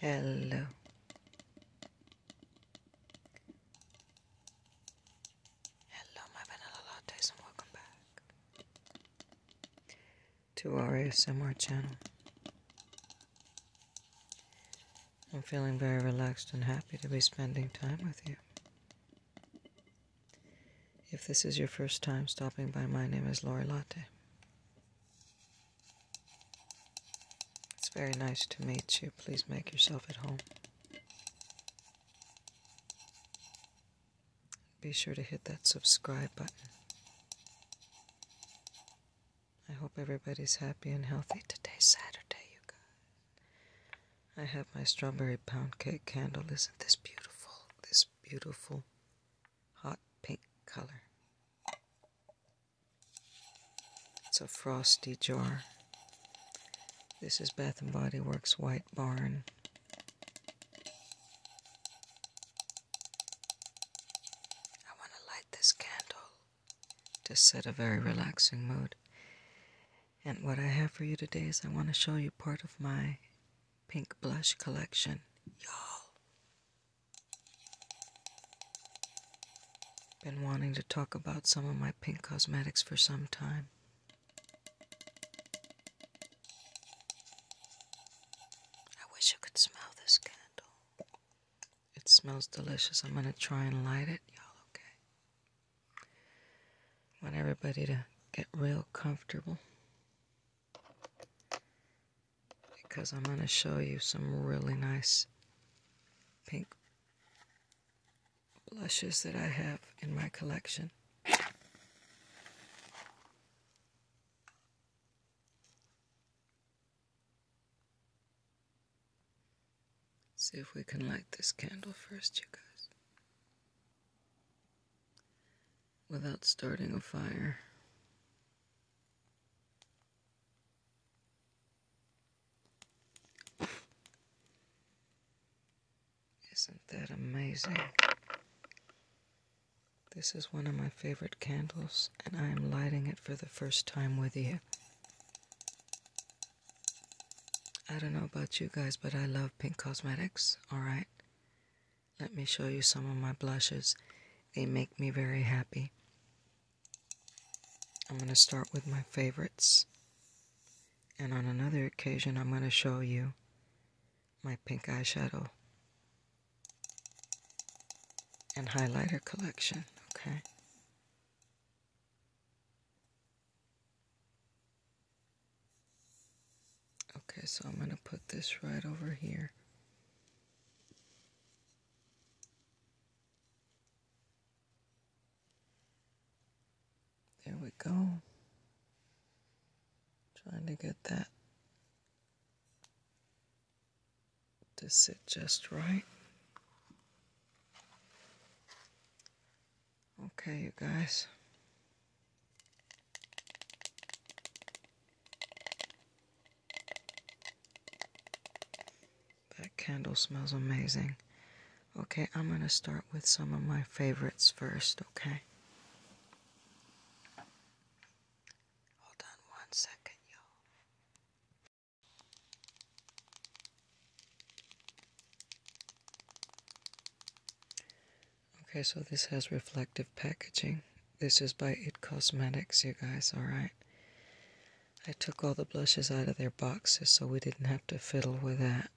Hello. Hello. Hello, my vanilla lattes, and welcome back to our ASMR channel. I'm feeling very relaxed and happy to be spending time with you. If this is your first time stopping by, my name is Lori Latte. It's very nice to meet you. Please make yourself at home. Be sure to hit that subscribe button. I hope everybody's happy and healthy. today, Saturday, you guys. I have my strawberry pound cake candle. Isn't this beautiful? This beautiful hot pink color. It's a frosty jar. This is Bath and Body Works White Barn. I want to light this candle. To set a very relaxing mood. And what I have for you today is I want to show you part of my pink blush collection, y'all. Been wanting to talk about some of my pink cosmetics for some time. I wish you could smell this candle. It smells delicious. I'm gonna try and light it, y'all. Okay. want everybody to get real comfortable because I'm gonna show you some really nice pink blushes that I have in my collection. See if we can light this candle first, you guys. Without starting a fire. Isn't that amazing? This is one of my favorite candles, and I am lighting it for the first time with you. I don't know about you guys, but I love pink cosmetics, alright? Let me show you some of my blushes. They make me very happy. I'm going to start with my favorites. And on another occasion, I'm going to show you my pink eyeshadow and highlighter collection, okay? Okay, so I'm going to put this right over here. There we go. Trying to get that to sit just right. Okay, you guys. That candle smells amazing. Okay, I'm going to start with some of my favorites first, okay? Hold on one second, y'all. Okay, so this has reflective packaging. This is by It Cosmetics, you guys, alright? I took all the blushes out of their boxes so we didn't have to fiddle with that.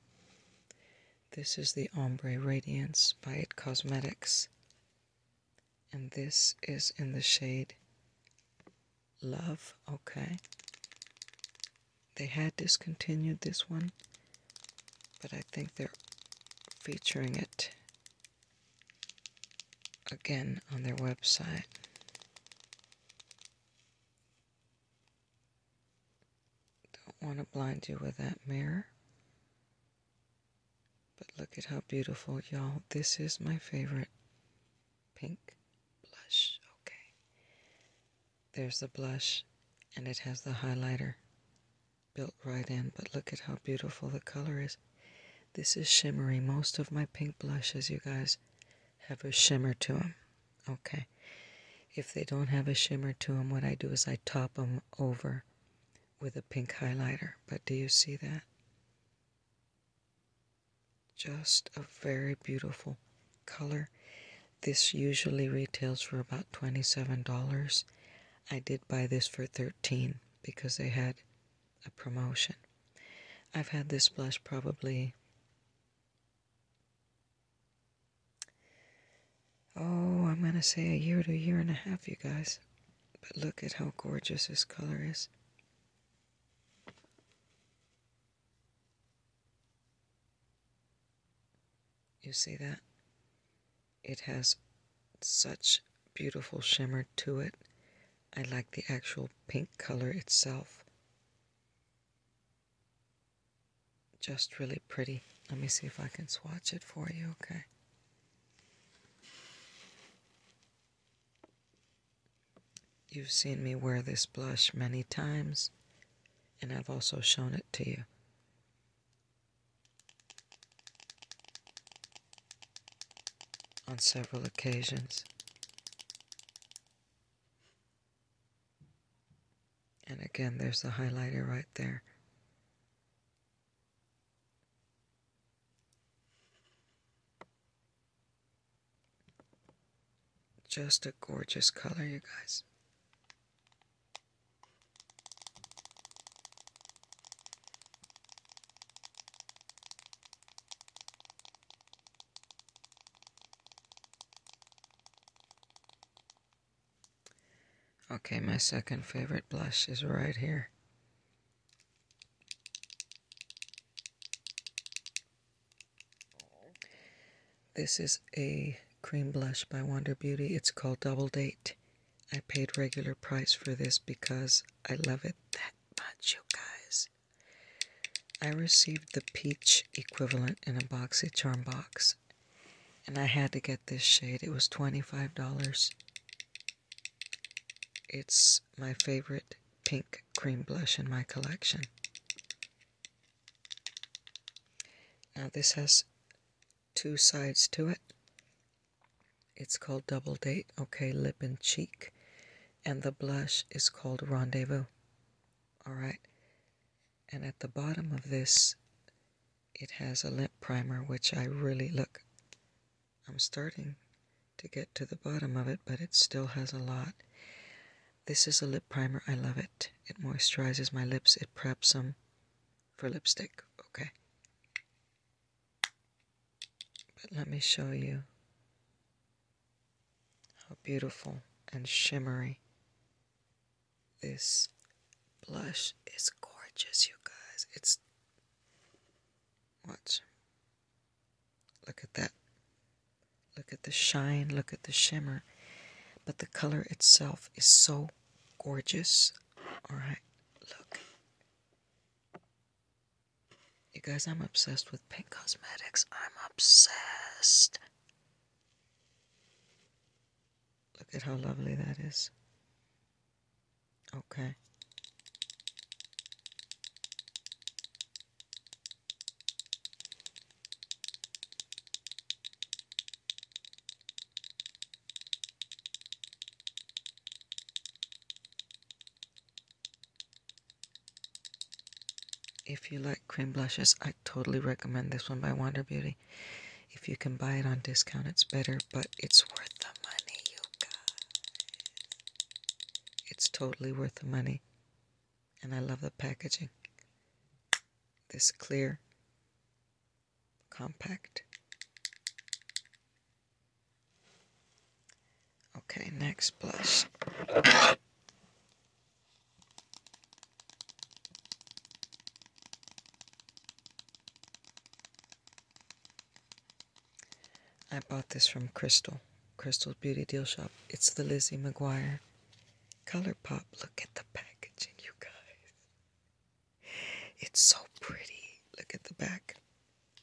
This is the Ombre Radiance by It Cosmetics. And this is in the shade Love, okay. They had discontinued this one, but I think they're featuring it again on their website. Don't want to blind you with that mirror. But look at how beautiful, y'all. This is my favorite pink blush. Okay. There's the blush, and it has the highlighter built right in. But look at how beautiful the color is. This is shimmery. Most of my pink blushes, you guys, have a shimmer to them. Okay. If they don't have a shimmer to them, what I do is I top them over with a pink highlighter. But do you see that? Just a very beautiful color. This usually retails for about $27. I did buy this for 13 because they had a promotion. I've had this blush probably Oh, I'm going to say a year to a year and a half, you guys. But look at how gorgeous this color is. You see that? It has such beautiful shimmer to it. I like the actual pink color itself. Just really pretty. Let me see if I can swatch it for you, okay? You've seen me wear this blush many times, and I've also shown it to you. On several occasions. And again, there's the highlighter right there. Just a gorgeous color, you guys. Okay, my second favorite blush is right here. This is a cream blush by Wonder Beauty. It's called Double Date. I paid regular price for this because I love it that much, you guys. I received the peach equivalent in a boxy charm box, and I had to get this shade. It was $25. It's my favorite pink cream blush in my collection. Now, this has two sides to it. It's called Double Date, okay, lip and cheek. And the blush is called Rendezvous, all right? And at the bottom of this, it has a lip primer, which I really look. I'm starting to get to the bottom of it, but it still has a lot. This is a lip primer. I love it. It moisturizes my lips. It preps them for lipstick. Okay. But let me show you how beautiful and shimmery this blush is gorgeous, you guys. It's watch. Look at that. Look at the shine, look at the shimmer. But the color itself is so gorgeous. All right, look. You guys, I'm obsessed with pink cosmetics. I'm obsessed. Look at how lovely that is. Okay. If you like cream blushes, I totally recommend this one by Wonder Beauty. If you can buy it on discount, it's better, but it's worth the money, you guys. It's totally worth the money. And I love the packaging. This clear, compact. Okay, next blush. I bought this from Crystal. Crystal Beauty Deal Shop. It's the Lizzie McGuire Color Pop. Look at the packaging, you guys. It's so pretty. Look at the back.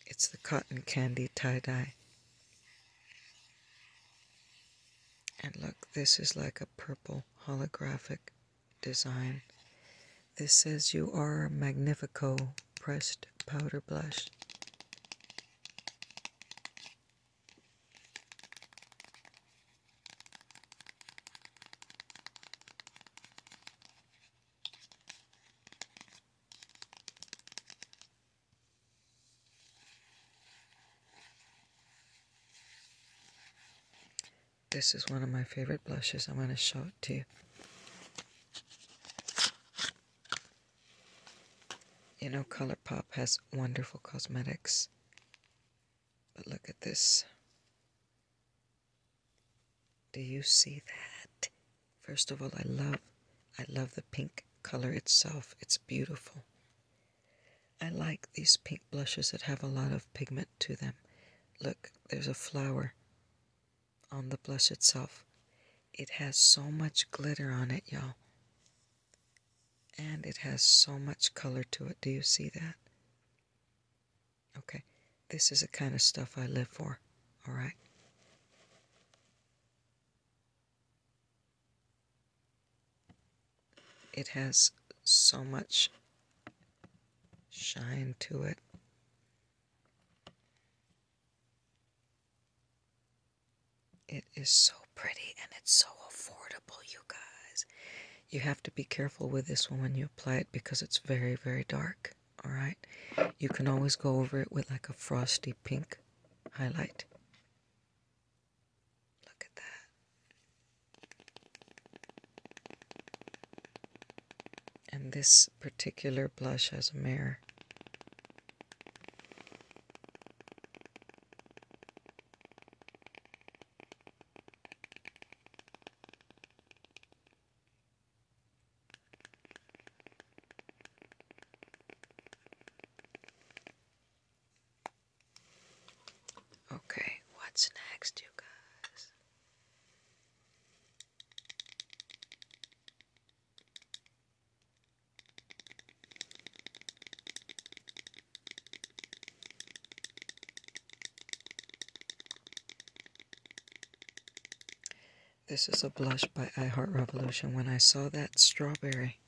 It's the cotton candy tie-dye. And look, this is like a purple holographic design. This says you are Magnifico pressed powder blush. This is one of my favorite blushes. I'm going to show it to you. You know, ColourPop has wonderful cosmetics. But look at this. Do you see that? First of all, I love I love the pink color itself. It's beautiful. I like these pink blushes that have a lot of pigment to them. Look, there's a flower on the blush itself. It has so much glitter on it, y'all. And it has so much color to it. Do you see that? Okay, this is the kind of stuff I live for, all right? It has so much shine to it. It is so pretty and it's so affordable, you guys. You have to be careful with this one when you apply it because it's very, very dark. Alright? You can always go over it with like a frosty pink highlight. Look at that. And this particular blush has a mirror. Okay, what's next, you guys? This is a blush by I Heart Revolution. When I saw that strawberry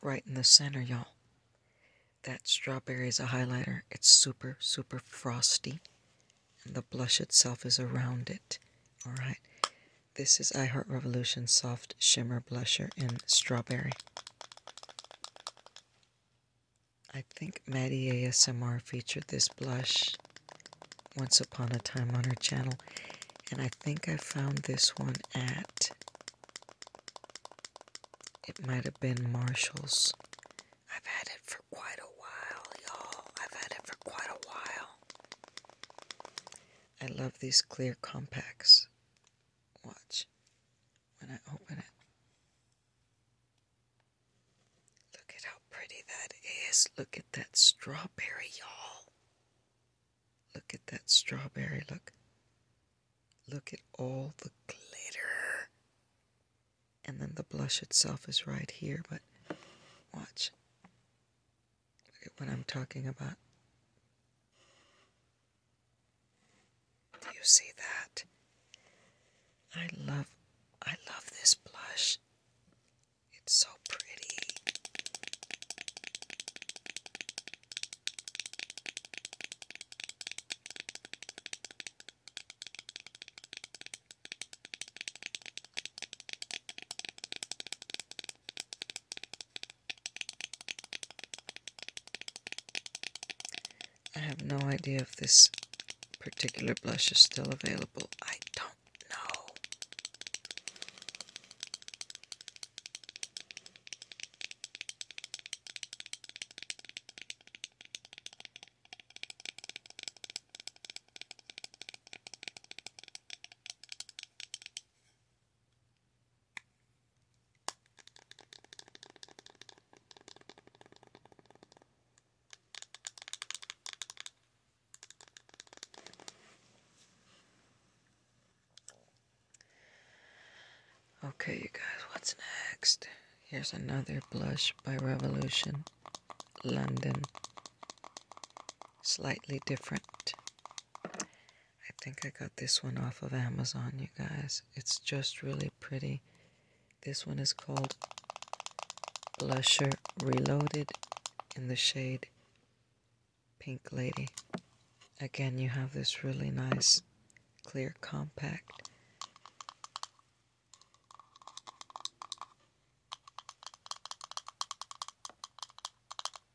right in the center, y'all, that strawberry is a highlighter. It's super, super frosty. And the blush itself is around it. All right. This is I Heart Revolution Soft Shimmer Blusher in Strawberry. I think Maddie ASMR featured this blush once upon a time on her channel. And I think I found this one at, it might have been Marshall's. I've had it for quite a while, y'all. I've had it for quite a while. I love these clear compacts. Watch when I open it. Look at how pretty that is. Look at that strawberry, y'all. Look at that strawberry. Look. Look at all the glitter. And then the blush itself is right here, but watch. Look at what I'm talking about. Do you see that? I love I love this blush. It's so pretty. I have no idea if this particular blush is still available. I don't know. Okay, you guys, what's next? Here's another blush by Revolution London. Slightly different I think I got this one off of Amazon, you guys. It's just really pretty. This one is called Blusher Reloaded in the shade Pink Lady. Again, you have this really nice clear compact.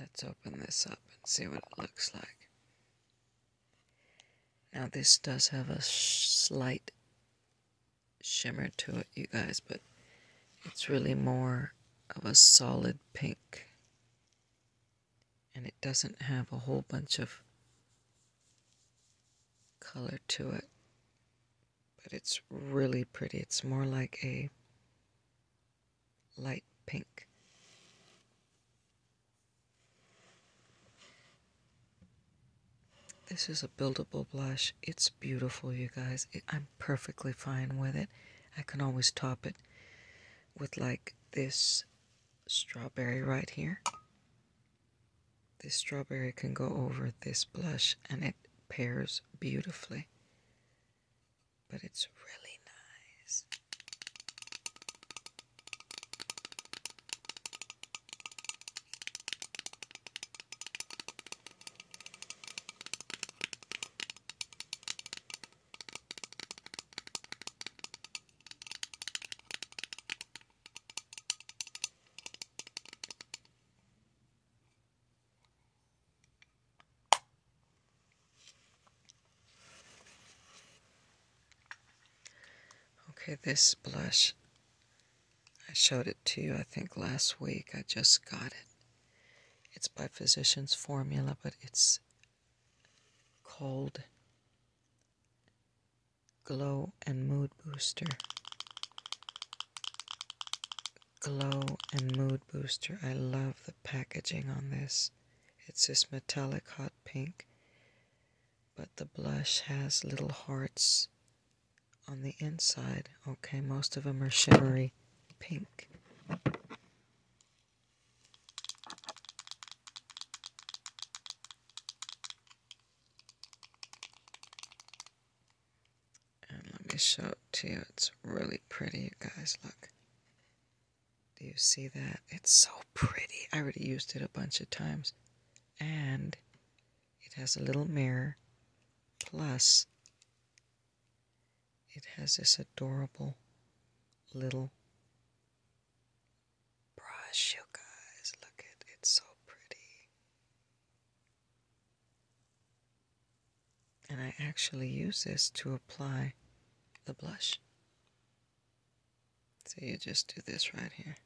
Let's open this up and see what it looks like. Now, this does have a slight shimmer to it, you guys, but it's really more of a solid pink. And it doesn't have a whole bunch of color to it. But it's really pretty. It's more like a light pink. This is a buildable blush. It's beautiful, you guys. I'm perfectly fine with it. I can always top it with like this strawberry right here. This strawberry can go over this blush and it pairs beautifully. But it's really nice. Okay, this blush, I showed it to you, I think, last week. I just got it. It's by Physicians Formula, but it's called Glow and Mood Booster. Glow and Mood Booster. I love the packaging on this. It's this metallic hot pink, but the blush has little hearts on the inside. Okay, most of them are shimmery pink. And let me show it to you. It's really pretty, you guys. Look. Do you see that? It's so pretty. I already used it a bunch of times. And it has a little mirror. Plus, it has this adorable little brush, you guys. Look at it's so pretty. And I actually use this to apply the blush. So you just do this right here.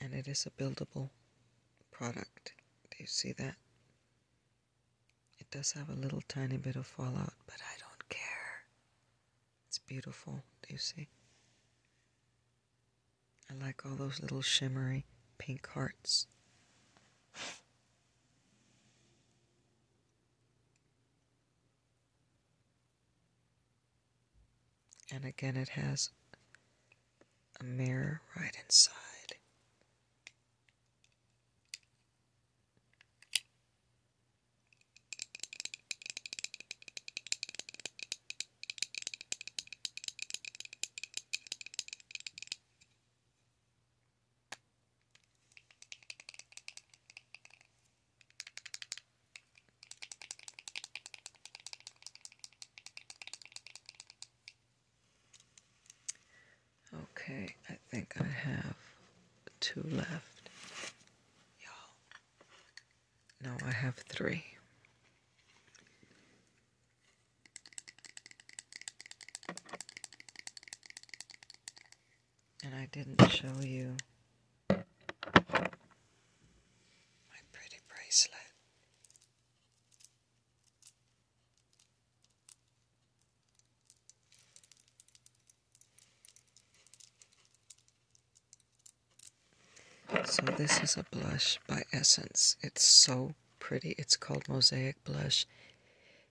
And it is a buildable product. Do you see that? It does have a little tiny bit of fallout, but I don't care. It's beautiful. Do you see? I like all those little shimmery pink hearts. And again, it has a mirror right inside. Okay, I think I have two left. Y'all. No, I have three and I didn't show you my pretty bracelet. So this is a blush by Essence. It's so pretty. It's called Mosaic Blush.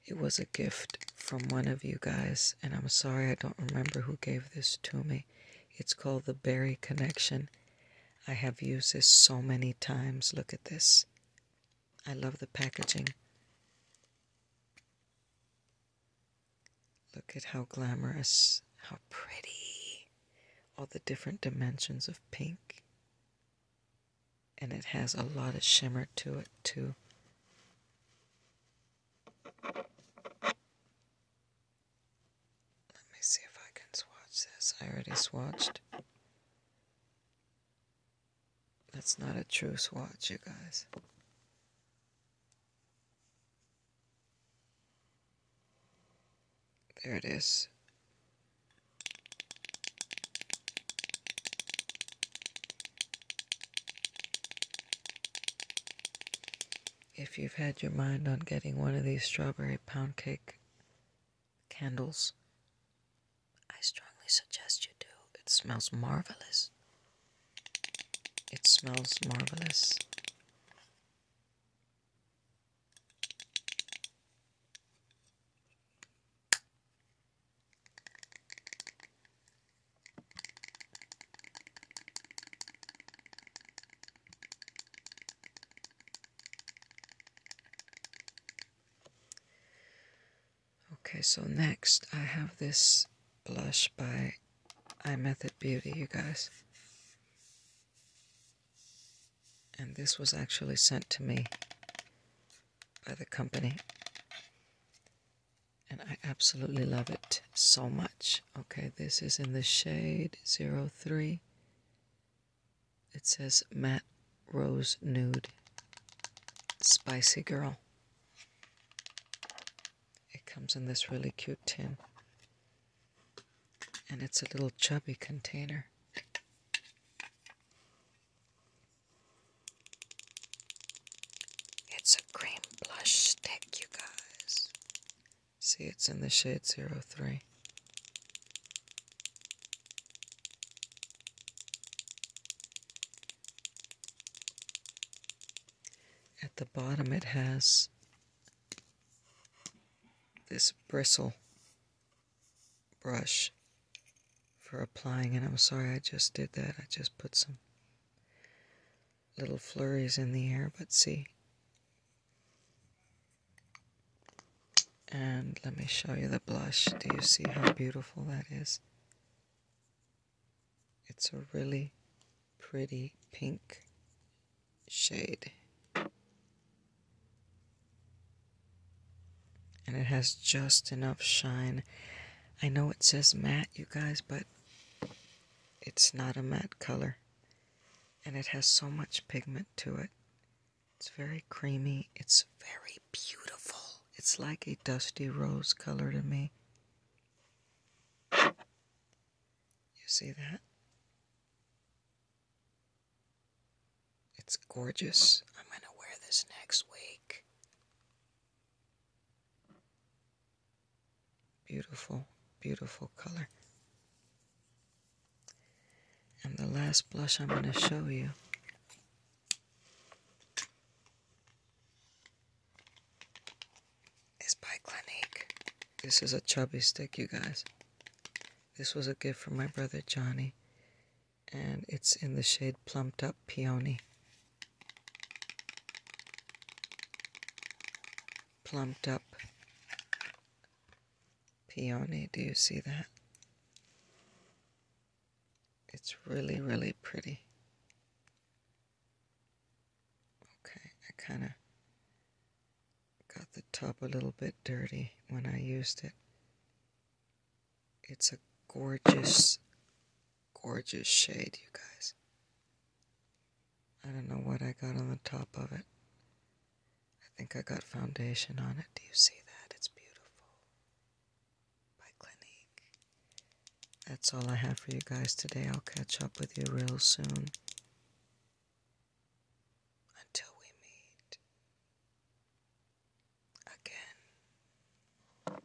It was a gift from one of you guys, and I'm sorry I don't remember who gave this to me. It's called the Berry Connection. I have used this so many times. Look at this. I love the packaging. Look at how glamorous, how pretty. All the different dimensions of pink. And it has a lot of shimmer to it, too. Let me see if I can swatch this. I already swatched. That's not a true swatch, you guys. There it is. If you've had your mind on getting one of these strawberry pound cake candles, I strongly suggest you do. It smells marvelous. It smells marvelous. Okay, so next I have this blush by iMethod Beauty, you guys. And this was actually sent to me by the company and I absolutely love it so much. Okay, this is in the shade 03. It says Matte Rose Nude Spicy Girl. It comes in this really cute tin. And it's a little chubby container. It's a cream blush stick, you guys. See, it's in the shade 03. At the bottom, it has this bristle brush for applying, and I'm sorry I just did that. I just put some little flurries in the air, but see. And let me show you the blush. Do you see how beautiful that is? It's a really pretty pink shade. And it has just enough shine I know it says matte, you guys, but it's not a matte color. And it has so much pigment to it. It's very creamy. It's very beautiful. It's like a dusty rose color to me. You see that? It's gorgeous. I'm going to wear this next week. Beautiful, beautiful color. And the last blush I'm going to show you is by Clinique. This is a chubby stick, you guys. This was a gift from my brother Johnny, and it's in the shade Plumped Up Peony plumped up peony. Do you see that? It's really, really pretty. Okay, I kind of got the top a little bit dirty when I used it. It's a gorgeous gorgeous shade, you guys. I don't know what I got on the top of it. I think I got foundation on it. Do you see that? It's beautiful. By Clinique. That's all I have for you guys today. I'll catch up with you real soon. Until we meet again.